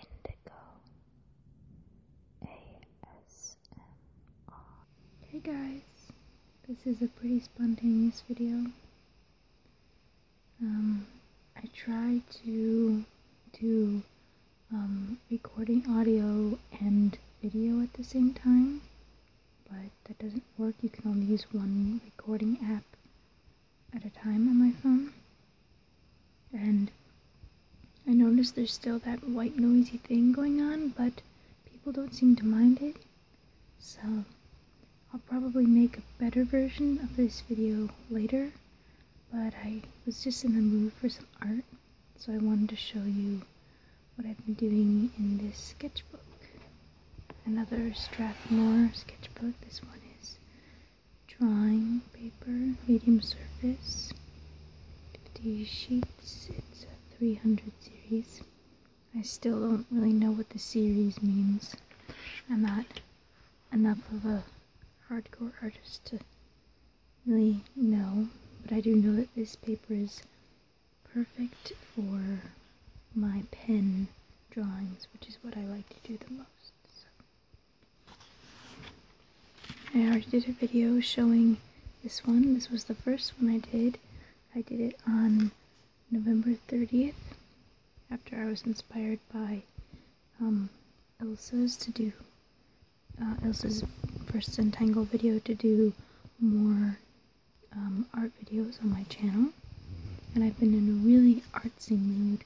Indigo ASMR. Hey guys, this is a pretty spontaneous video. Um, I try to do um, recording audio and video at the same time, but that doesn't work. You can only use one recording app at a time on my phone. And I notice there's still that white noisy thing going on, but people don't seem to mind it. So I'll probably make a better version of this video later, but I was just in the mood for some art, so I wanted to show you what I've been doing in this sketchbook another Strathmore sketchbook. This one is drawing paper, medium surface, 50 sheets. It's a 300 series. I still don't really know what the series means. I'm not enough of a hardcore artist to really know, but I do know that this paper is perfect for my pen drawings, which is what I like to do the most. I already did a video showing this one. This was the first one I did. I did it on November 30th after I was inspired by um, Elsa's to do uh, Elsa's first entangle video to do more um, art videos on my channel, and I've been in a really artsy mood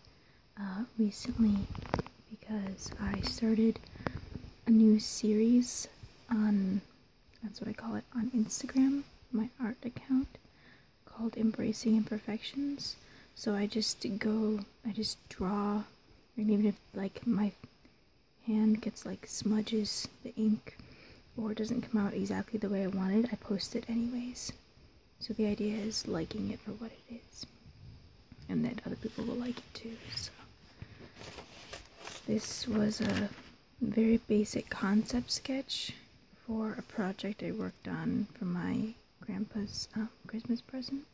uh, recently because I started a new series on that's what I call it on Instagram, my art account called Embracing Imperfections. So I just go, I just draw, and even if like my hand gets like smudges the ink or doesn't come out exactly the way I wanted, I post it anyways. So the idea is liking it for what it is, and that other people will like it too. So this was a very basic concept sketch for a project I worked on for my grandpa's um, Christmas present.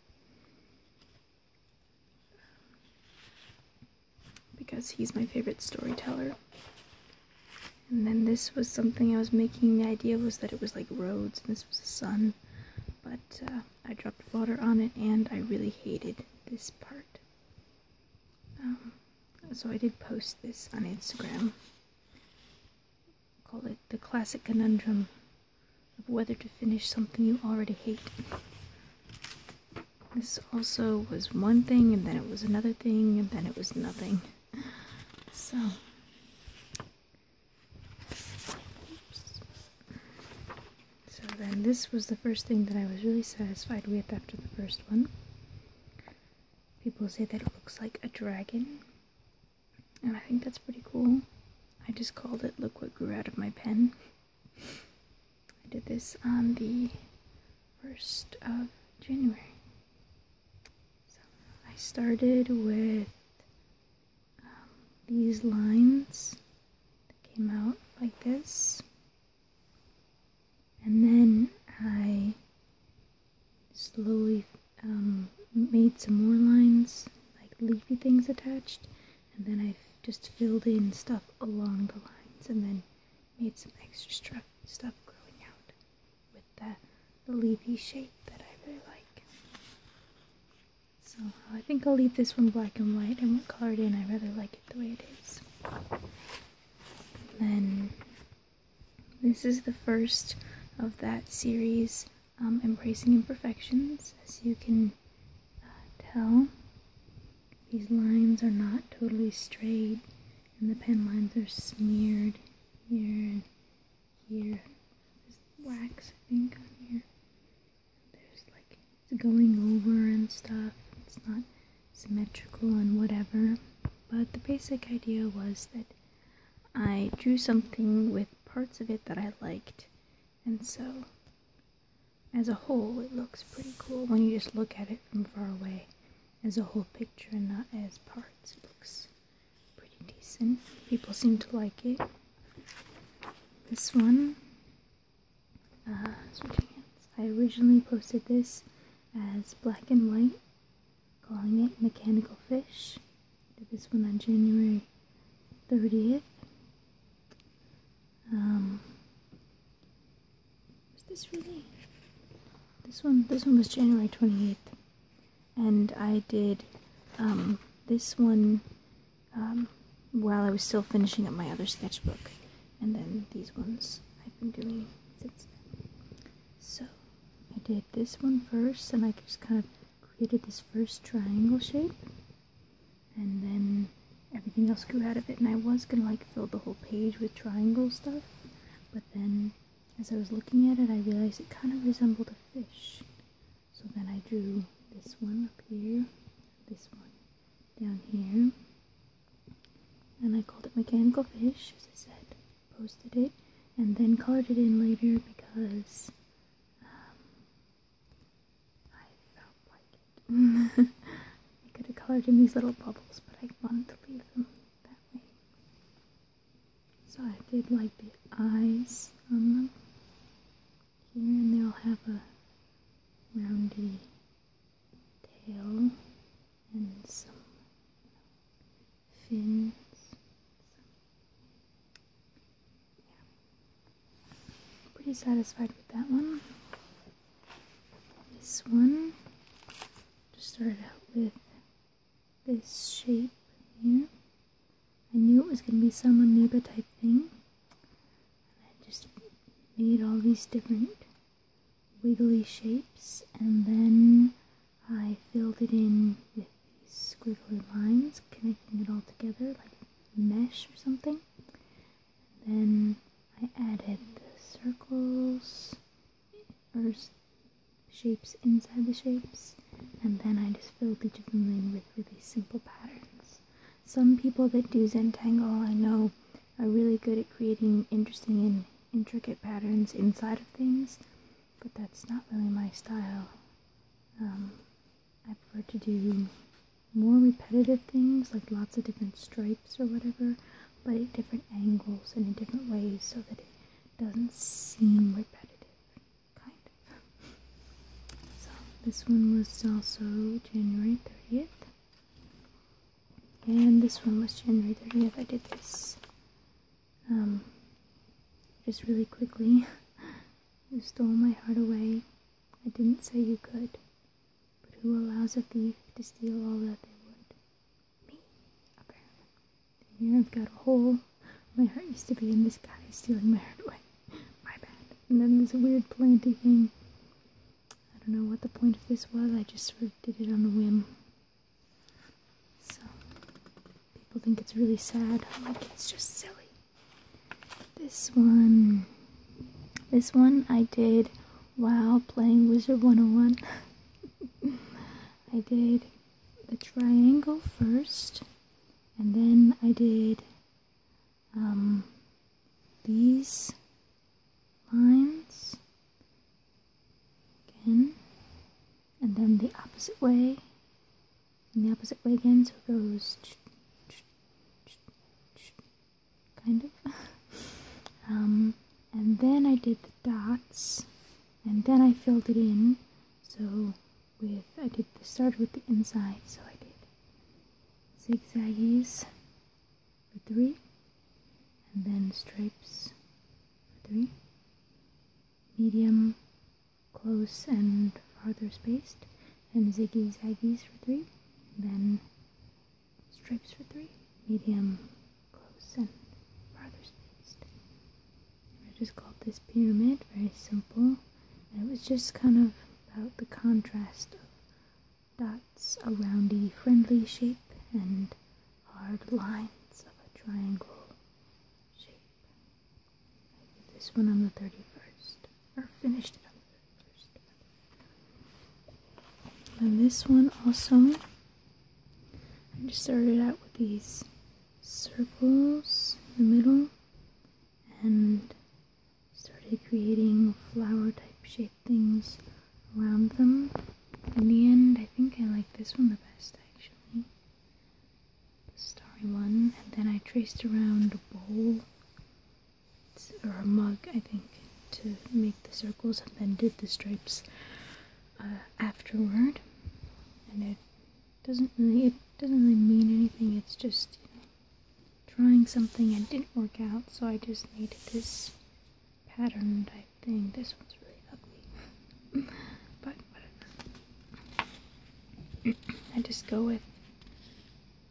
Because he's my favorite storyteller. And then this was something I was making. The idea was that it was like roads and this was the sun. But uh, I dropped water on it and I really hated this part. Um, so I did post this on Instagram. Call it the classic conundrum of whether to finish something you already hate. This also was one thing, and then it was another thing, and then it was nothing. So, so then this was the first thing that I was really satisfied with after the first one. People say that it looks like a dragon, and I think that's pretty cool. I just called it "Look What Grew Out of My Pen." I did this on the first of January. So I started with um, these lines that came out like this, and then I slowly um, made some more lines, like leafy things attached, and then I just filled in stuff along the lines, and then made some extra stuff growing out with the, leafy shape that I really like. So I think I'll leave this one black and white. I won't color it in. I rather like it the way it is. then this is the first of that series, um, Embracing Imperfections, as you can uh, tell. These lines are not totally straight, and the pen lines are smeared here and here. There's wax, I think, on here. There's like it's going over and stuff. It's not symmetrical and whatever. But the basic idea was that I drew something with parts of it that I liked, and so as a whole, it looks pretty cool when you just look at it from far away as a whole picture and not as parts. It looks pretty decent. People seem to like it. This one, uh, I originally posted this as black and white, calling it Mechanical Fish. Did this one on January 30th. Was this really? This one, this one was January 28th. And I did um, this one um, while I was still finishing up my other sketchbook. And then these ones I've been doing since then. So I did this one first and I just kind of created this first triangle shape. And then everything else grew out of it, and I was gonna like fill the whole page with triangle stuff, but then as I was looking at it, I realized it kind of resembled a fish. So then I drew this one up here, this one down here, and I called it mechanical fish, as I said, posted it, and then colored it in later because um, I felt like I could have colored in these little bubbles, but I wanted to leave them that way. So I did like the eyes on them here, and they will have a roundy tail and some fins. yeah. Pretty satisfied with that one this one. Just started out with this shape here. I knew it was going to be some amoeba type thing. I just made all these different wiggly shapes and then I filled it in with these squiggly lines, connecting it all together like mesh or something. And then I added the circles or shapes inside the shapes and then I just filled each of them in with really simple patterns. Some people that do Zentangle I know are really good at creating interesting and intricate patterns inside of things, but that's not really my style. Um, I prefer to do more repetitive things, like lots of different stripes or whatever, but at different angles and in different ways so that it doesn't seem repetitive, kind So this one was also January 30th. And this one was January 30th. I did this um, just really quickly. you stole my heart away. I didn't say you could. But who allows a thief to steal all that they would? Me, apparently. here I've got a hole. My heart used to be in this guy stealing my heart away. my bad. And then this weird planting thing. I don't know what the point of this was, I just sort of did it on a whim. So, people think it's really sad. I'm like, it's just silly. This one, this one I did while playing Wizard 101. I did the triangle first, and then I did um, these lines again, and then the opposite way, and the opposite way again, so it goes kind of. um, and then I did the dots, and then I filled it in. So with I did the start with the inside, so I did zigzaggies for three, and then stripes for three, medium, close, and farther spaced, and ziggies aggies for three, then stripes for three, medium, close, and farthest. spaced. I just called this pyramid, very simple, it was just kind of about the contrast of dots, around a friendly shape, and hard lines of a triangle shape. I did this one on the 31st, or finished it on the 31st. And this one also, I just started out with these circles in the middle and started creating flower type shape things around them. In the end, I think I like this one the best actually. The starry one. And then I traced around a bowl or a mug, I think, to make the circles and then did the stripes uh, afterward. And it doesn't really, it doesn't really mean anything. It's just trying something and didn't work out, so I just made this pattern type thing. This one's really ugly, but I just go with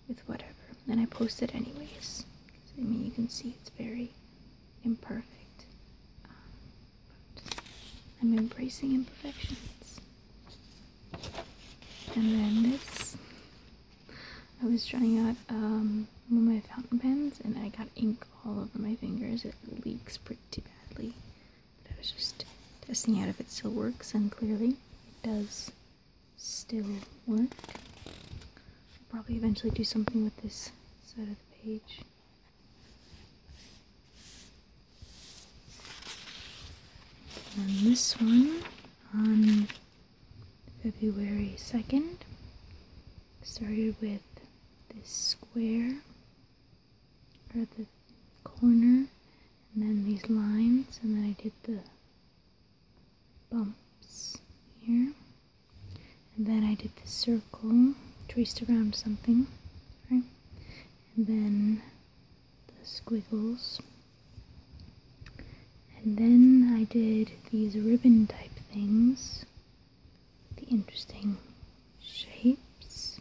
with whatever. And I post it anyways. I mean, you can see it's very imperfect. Um, but I'm embracing imperfections. And then this. I was trying out um, one of my fountain pens and I got ink all over my fingers. It leaks pretty badly. But I was just testing out if it still works and clearly it does still work. I'll probably eventually do something with this side of the page. And this one on February 2nd started with this square or the corner and then these lines and then I did the bumps here and then I did the circle traced around something right and then the squiggles and then I did these ribbon type things the interesting shapes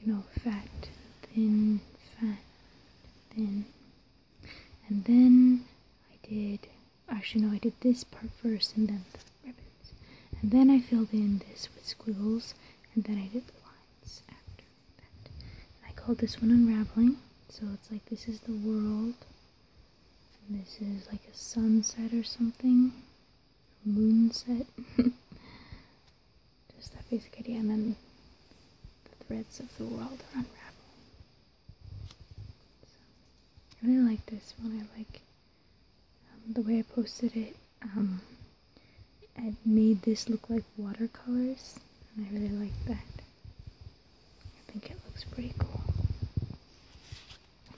you know fat thin fat thin and then I did actually no I did this part first and then the ribbons and then I filled in this with squiggles and then I did the lines after that I called this one unraveling so it's like this is the world and this is like a sunset or something moonset. Just that basic idea, and then the threads of the world are unraveling. I really like this one. I like um, the way I posted it. Um, I made this look like watercolors, and I really like that. I think it looks pretty cool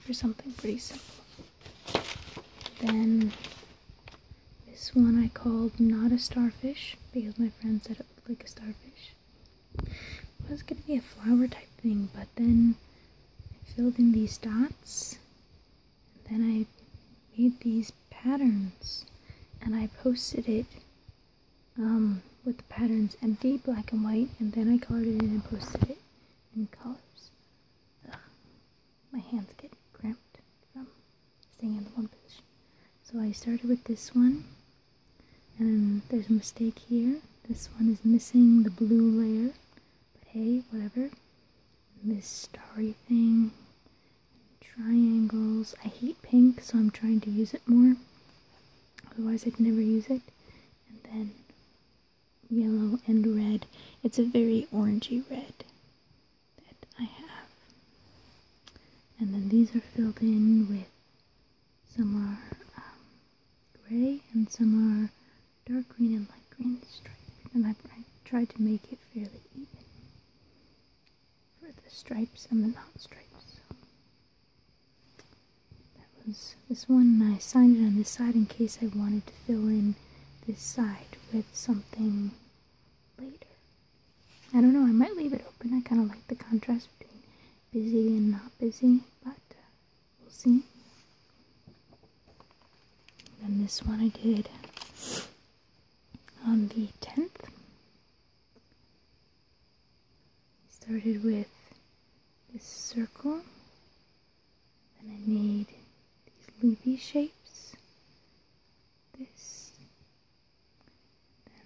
for something pretty simple. Then this one I called Not a Starfish because my friend said it looked like a starfish. It was going to be a flower type thing, but then I filled in these dots then I made these patterns and I posted it um, with the patterns empty, black and white, and then I colored it in and posted it in colors my hands get cramped from staying in one position. So I started with this one, and there's a mistake here. This one is missing the blue layer, but hey, whatever. this starry thing, triangles. I hate pink, so I'm trying to use it more. Otherwise, I'd never use it. And then yellow and red. It's a very orangy red that I have. And then these are filled in with some are um, gray and some are dark green and light green stripes. And I, tried to make it fairly even for the stripes and the not stripes. that was this one. I signed it on this side in case I wanted to fill in this side with something later. I don't know, I might leave it open. I kind of like the contrast between busy and not busy, but uh, we'll see. And this one I did on the 10th. Started with this circle then I need these leafy shapes. This.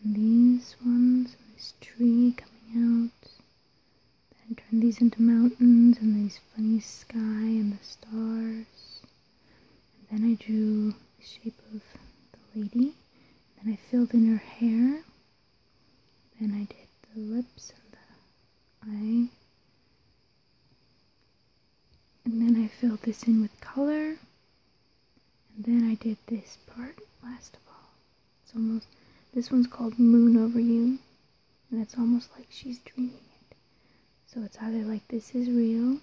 and these ones, and this tree coming out. Then I turned these into mountains and these funny sky and the stars. And then I drew the shape of the lady. Then I filled in her hair. Then I did the lips and the eye and then I filled this in with color. And then I did this part last of all. It's almost, this one's called Moon Over You. And it's almost like she's dreaming it. So it's either like this is real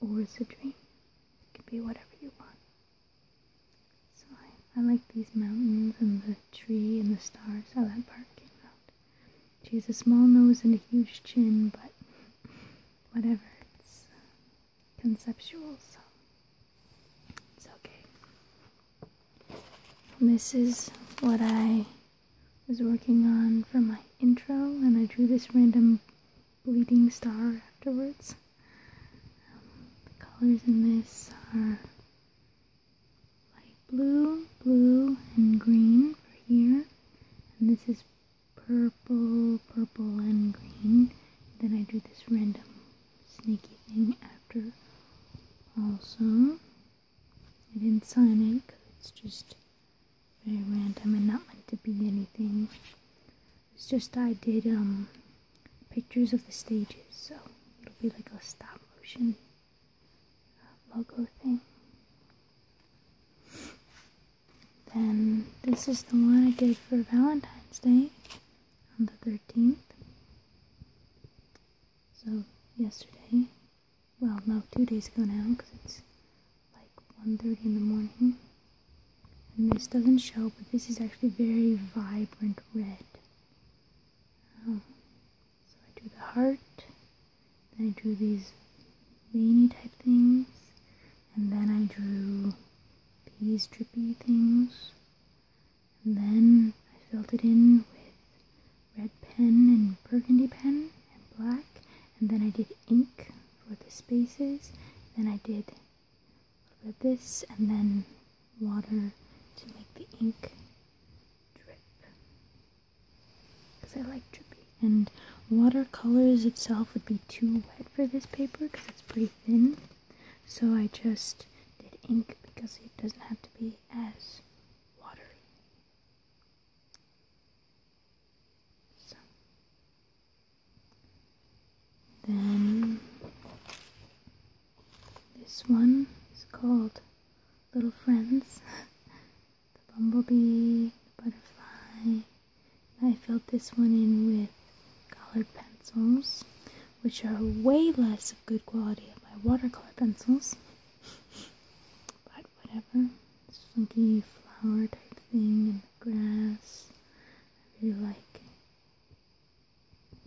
or it's a dream. It can be whatever you want. So I like these mountains and the tree and the stars, how that part came out. She has a small nose and a huge chin, but whatever, it's conceptual, so it's okay. This is what I was working on for my intro, and I drew this random bleeding star afterwards. the colors in this are light blue, blue, and green for here. And this is purple, purple, and green. Then I do this random sneaky thing after also. I didn't sign it because it's just very random and not meant to be anything. It's just I did um, pictures of the stages, so it'll be like a stop motion logo thing. Then this is the one I did for Valentine's Day on the 13th. So yesterday, well no, two days ago now because it's like 1.30 in the morning. And this doesn't show, but this is actually very vibrant red. Um, so I drew the heart, then I drew these veiny type things, and then I drew these drippy things, and then I filled it in with red pen and burgundy pen and black, and then I did ink for the spaces, then I did a little bit of this, and then water to make the ink drip. Because I like drippy. And watercolors itself would be too wet for this paper because it's pretty thin. So I just did ink because it doesn't have to be as watery. So. Then this one is called Little Friends. the bumblebee, the butterfly. I filled this one in with colored pencils, which are way less of good quality than my watercolor pencils. but whatever. This funky flower type thing and the grass. I really like it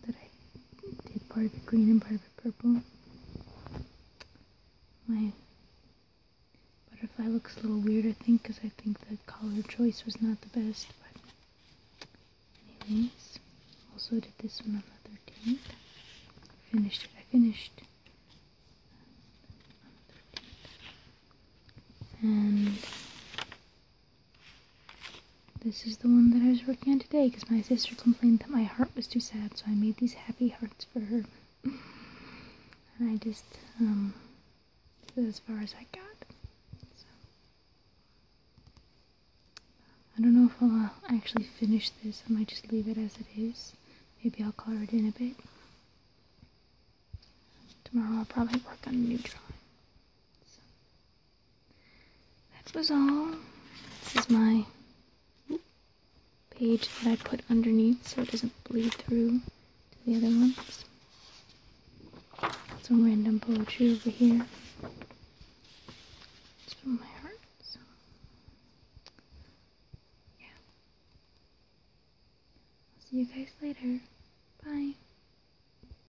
that I did part of it green and part of it purple. My butterfly looks a little weird, I think, because I think the color choice was not the best, but anyways, also did this one on the 13th. Finished it. I finished um, on the 13th. And this is the one that I was working on today because my sister complained that my heart was too sad, so I made these happy hearts for her. and I just, um, did as far as I got. So. I don't know if I'll uh, actually finish this. I might just leave it as it is. Maybe I'll color it in a bit. Tomorrow I'll probably work on a new drawing. That was all. This is my page that I put underneath so it doesn't bleed through to the other ones. Some random poetry over here. It's from my heart, so. Yeah. I'll see you guys later. Bye.